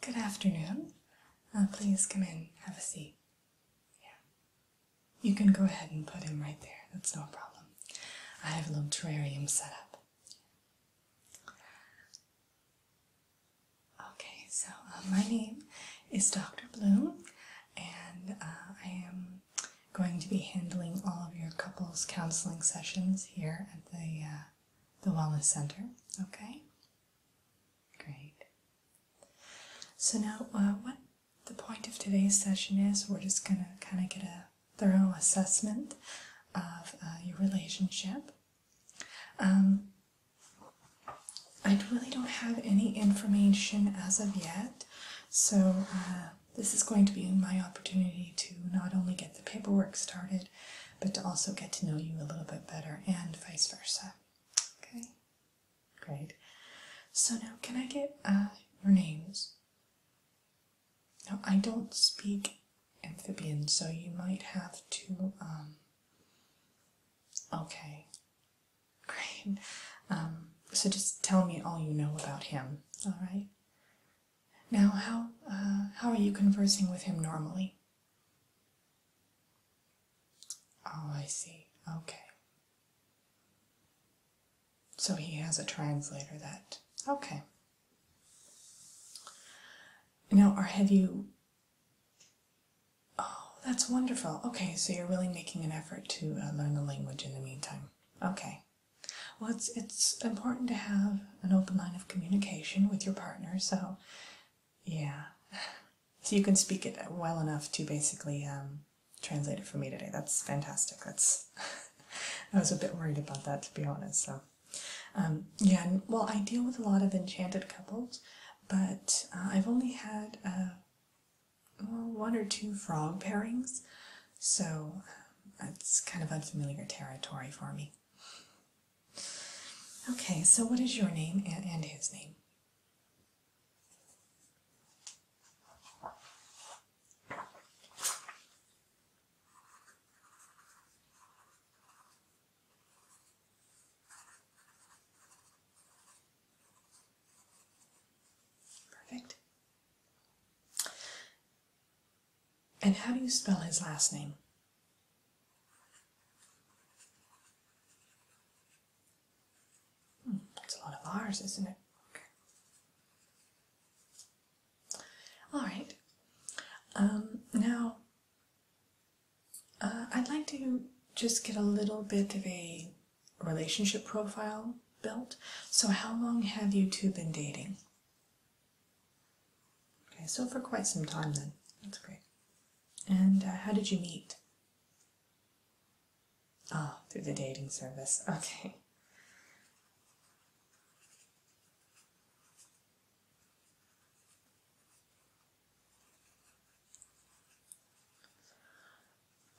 Good afternoon. Uh, please come in, have a seat. Yeah. You can go ahead and put him right there, that's no problem. I have a little terrarium set up. Okay, so uh, my name is Dr. Bloom, and uh, I am going to be handling all of your couples counseling sessions here at the uh, the wellness center. Okay, great. So now, uh, what the point of today's session is, we're just gonna kind of get a thorough assessment of uh, your relationship. Um, I really don't have any information as of yet so uh, this is going to be my opportunity to not only get the paperwork started, but to also get to know you a little bit better and vice versa. Okay, great. So now can I get uh, your names? Now I don't speak amphibian, so you might have to, um, okay, Great. Um, so just tell me all you know about him, all right? Now, how uh, how are you conversing with him normally? Oh, I see. Okay. So he has a translator that. Okay. Now, are, have you Oh, that's wonderful. Okay, so you're really making an effort to uh, learn the language in the meantime. Okay. Well, it's, it's important to have an open line of communication with your partner, so yeah. So you can speak it well enough to basically um, translate it for me today. That's fantastic. That's I was a bit worried about that, to be honest. So, um, yeah, and, well, I deal with a lot of enchanted couples, but uh, I've only had uh, one or two frog pairings, so um, that's kind of unfamiliar territory for me. Okay, so what is your name and, and his name? Perfect. And how do you spell his last name? Hmm, that's a lot of R's, isn't it? Okay. All right. Um, now, uh, I'd like to just get a little bit of a relationship profile built. So, how long have you two been dating? Okay, so for quite some time then. That's great. And uh, how did you meet? Ah, through the dating service. Okay.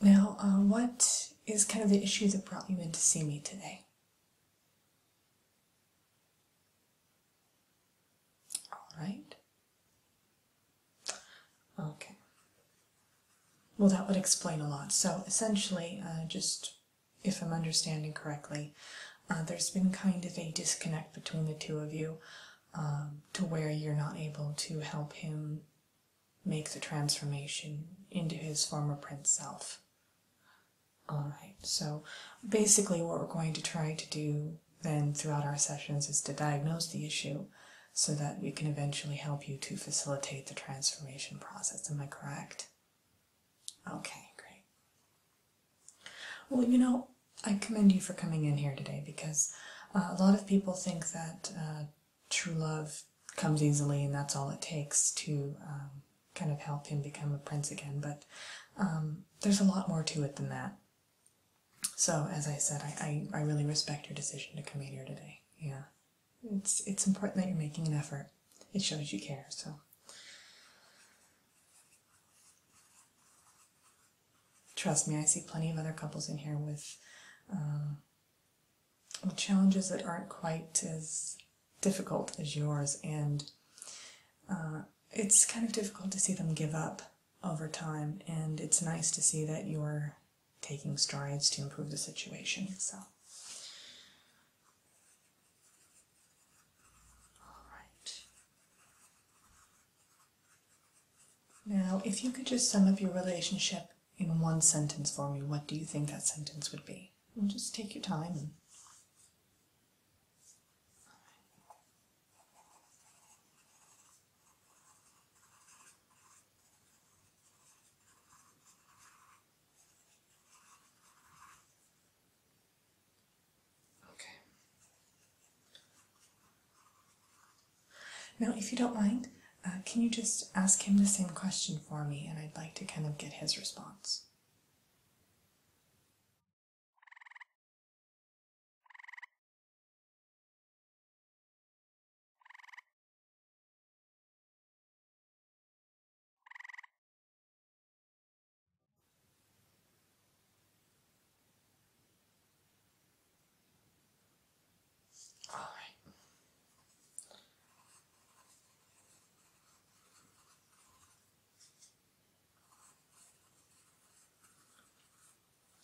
Now, uh, what is kind of the issue that brought you in to see me today? All right. Okay. Well, that would explain a lot. So, essentially, uh, just if I'm understanding correctly, uh, there's been kind of a disconnect between the two of you. Um, to where you're not able to help him make the transformation into his former Prince self. Alright, so basically, what we're going to try to do then throughout our sessions is to diagnose the issue so that we can eventually help you to facilitate the transformation process. Am I correct? Okay, great. Well, you know, I commend you for coming in here today because uh, a lot of people think that uh, true love comes easily and that's all it takes to um, kind of help him become a prince again, but um, there's a lot more to it than that. So, as I said, I, I, I really respect your decision to come in here today. Yeah, it's, it's important that you're making an effort. It shows you care, so. Trust me, I see plenty of other couples in here with, uh, challenges that aren't quite as difficult as yours, and uh, it's kind of difficult to see them give up over time, and it's nice to see that you're taking strides to improve the situation. So, Alright. Now, if you could just sum up your relationship in one sentence for me, what do you think that sentence would be? just take your time. Okay. Now, if you don't mind, uh, can you just ask him the same question for me, and I'd like to kind of get his response.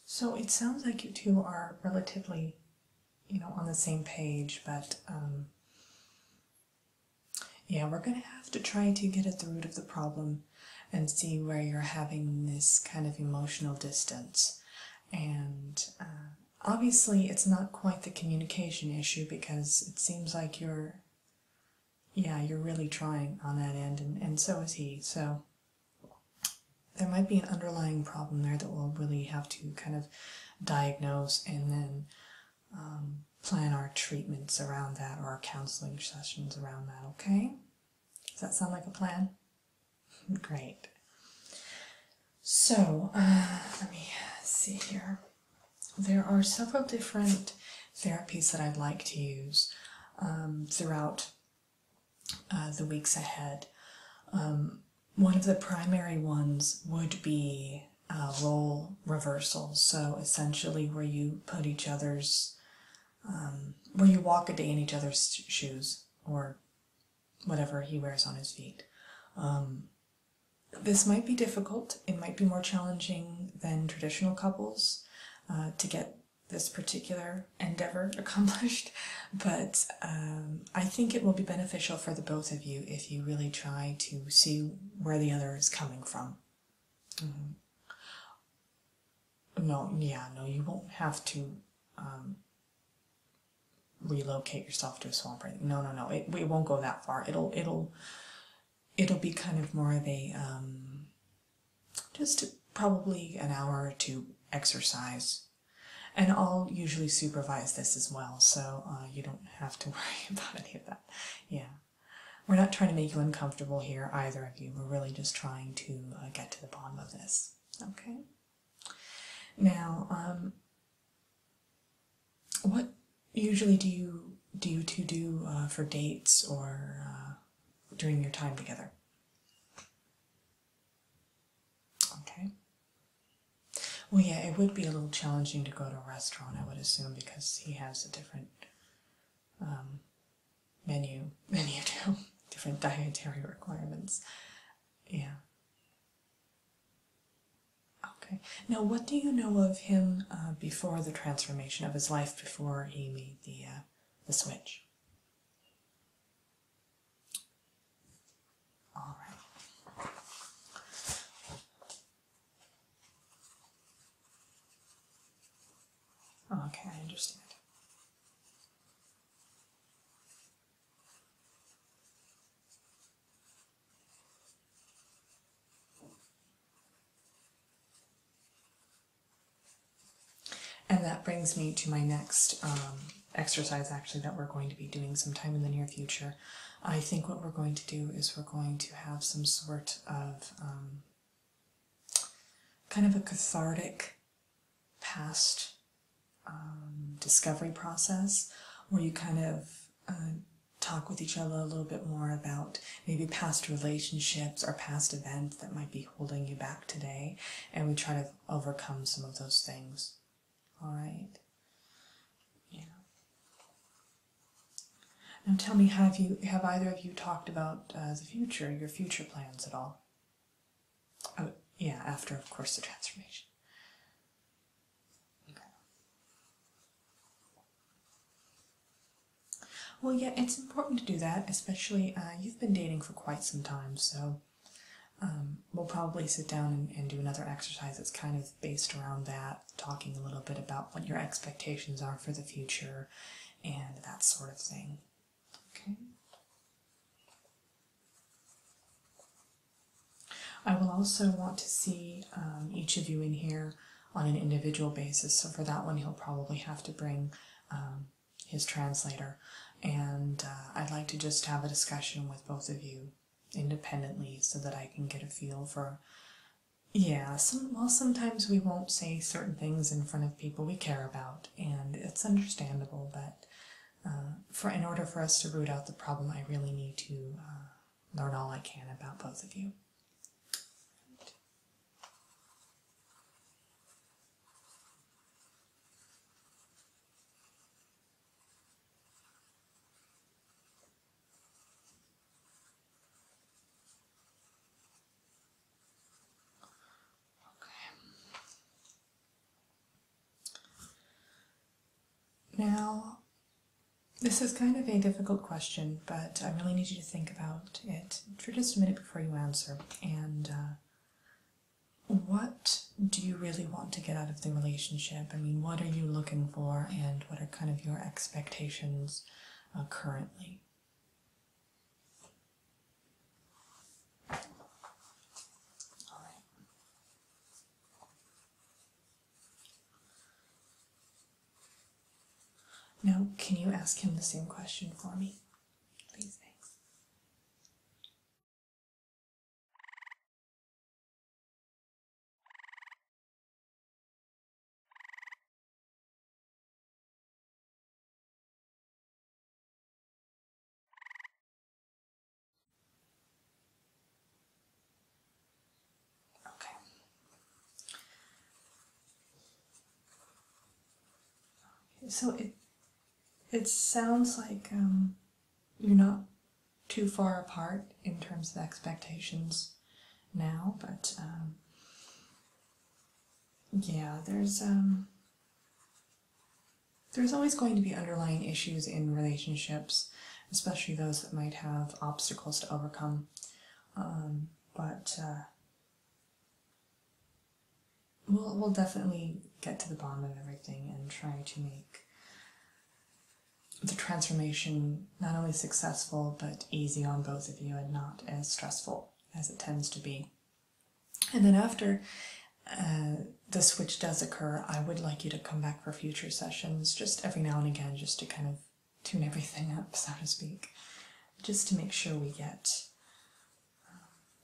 So it sounds like you two are relatively, you know, on the same page, but um, yeah, we're going to have to try to get at the root of the problem and see where you're having this kind of emotional distance. And uh, obviously, it's not quite the communication issue because it seems like you're, yeah, you're really trying on that end, and, and so is he. So there might be an underlying problem there that we'll really have to kind of diagnose and then um, plan our treatments around that or our counseling sessions around that, okay? Does that sound like a plan? Great. So, uh, let me see here. There are several different therapies that I'd like to use um, throughout uh, the weeks ahead. Um, one of the primary ones would be uh, role reversals, So essentially, where you put each other's, um, where you walk a day in each other's shoes or whatever he wears on his feet. Um, this might be difficult. It might be more challenging than traditional couples uh, to get this particular endeavor accomplished, but um, I think it will be beneficial for the both of you if you really try to see where the other is coming from. Mm-hmm. No, yeah, no, you won't have to um, relocate yourself to a swamp. No, no, no, it, it won't go that far. It'll, it'll, it'll be kind of more of a um, just probably an hour or two exercise. And I'll usually supervise this as well, so uh, you don't have to worry about any of that. Yeah. We're not trying to make you uncomfortable here, either of you. We're really just trying to uh, get to the bottom of this. Okay? Now, um, what usually do you, do you two do uh, for dates or uh, during your time together? Okay. Well, yeah, it would be a little challenging to go to a restaurant, I would assume, because he has a different um, menu, menu too, different dietary requirements. Yeah. Okay. Now, what do you know of him uh, before the transformation of his life, before he made the uh, the switch? All right. Oh, okay, I understand. And that brings me to my next um, exercise, actually, that we're going to be doing sometime in the near future. I think what we're going to do is we're going to have some sort of um, kind of a cathartic past um, discovery process where you kind of uh, talk with each other a little bit more about maybe past relationships or past events that might be holding you back today, and we try to overcome some of those things. All right. Yeah. Now tell me, have you have either of you talked about uh, the future, your future plans at all? Oh, yeah, after of course the transformation. Okay. Well, yeah, it's important to do that, especially uh, you've been dating for quite some time, so um, we'll probably sit down and, do another exercise that's kind of based around that, talking a little bit about what your expectations are for the future and that sort of thing. Okay. I will also want to see um, each of you in here on an individual basis. So for that one, he'll probably have to bring um, his translator. And uh, I'd like to just have a discussion with both of you independently so that I can get a feel for yeah, some well sometimes we won't say certain things in front of people we care about, and it's understandable, but uh, for in order for us to root out the problem, I really need to uh, learn all I can about both of you. Now, this is kind of a difficult question, but I really need you to think about it for just a minute before you answer and uh, what do you really want to get out of the relationship? I mean, what are you looking for, and what are kind of your expectations uh, currently? All right. Now, can you ask him the same question for me? Please, Okay. So it it sounds like um, you're not too far apart in terms of expectations now, but um, yeah, there's um, there's always going to be underlying issues in relationships, especially those that might have obstacles to overcome. but uh, We'll, we'll definitely get to the bottom of everything and try to make the transformation not only successful but easy on both of you and not as stressful as it tends to be. And then after uh, the switch does occur, I would like you to come back for future sessions just every now and again, just to kind of tune everything up, so to speak, just to make sure we get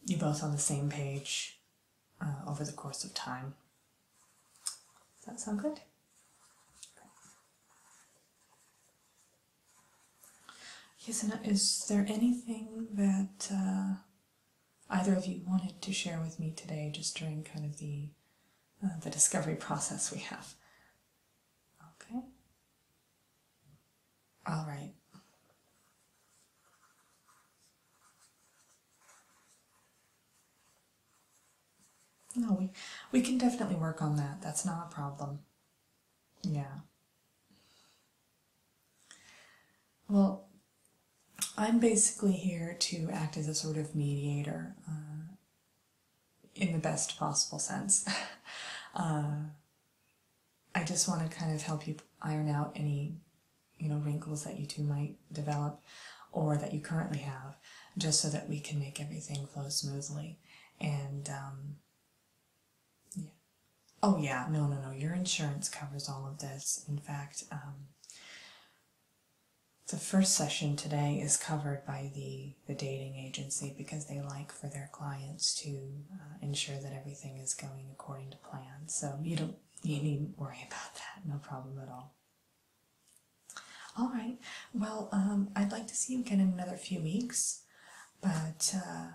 you're both on the same page uh, over the course of time. Does that sound good? Yes, and uh, is there anything that uh, either of you wanted to share with me today, just during kind of the the discovery process we have? Okay. All right. No, we, we can definitely work on that. That's not a problem. Yeah. Well, I'm basically here to act as a sort of mediator uh, in the best possible sense. Uh, I just want to kind of help you iron out any, you know, wrinkles that you two might develop or that you currently have, just so that we can make everything flow smoothly. And, um, yeah. Oh, yeah, no, no, no, your insurance covers all of this. In fact, um, the first session today is covered by the, the dating agency because they like for their clients to uh, ensure that everything is going according to plan. So you don't you needn't worry about that. No problem at all. All right. Well, um, I'd like to see you again in another few weeks. But uh,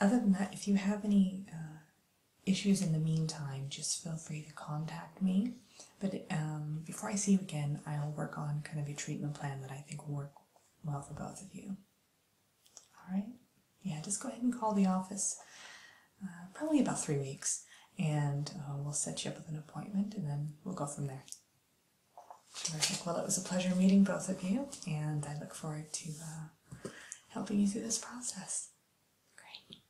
other than that, if you have any uh, issues in the meantime, just feel free to contact me. But um, before I see you again, I'll work on kind of a treatment plan that I think will work well for both of you. All right. Yeah, just go ahead and call the office. Uh, probably about three weeks, and uh, we'll set you up with an appointment, and then we'll go from there. Well, it was a pleasure meeting both of you, and I look forward to uh, helping you through this process. Great.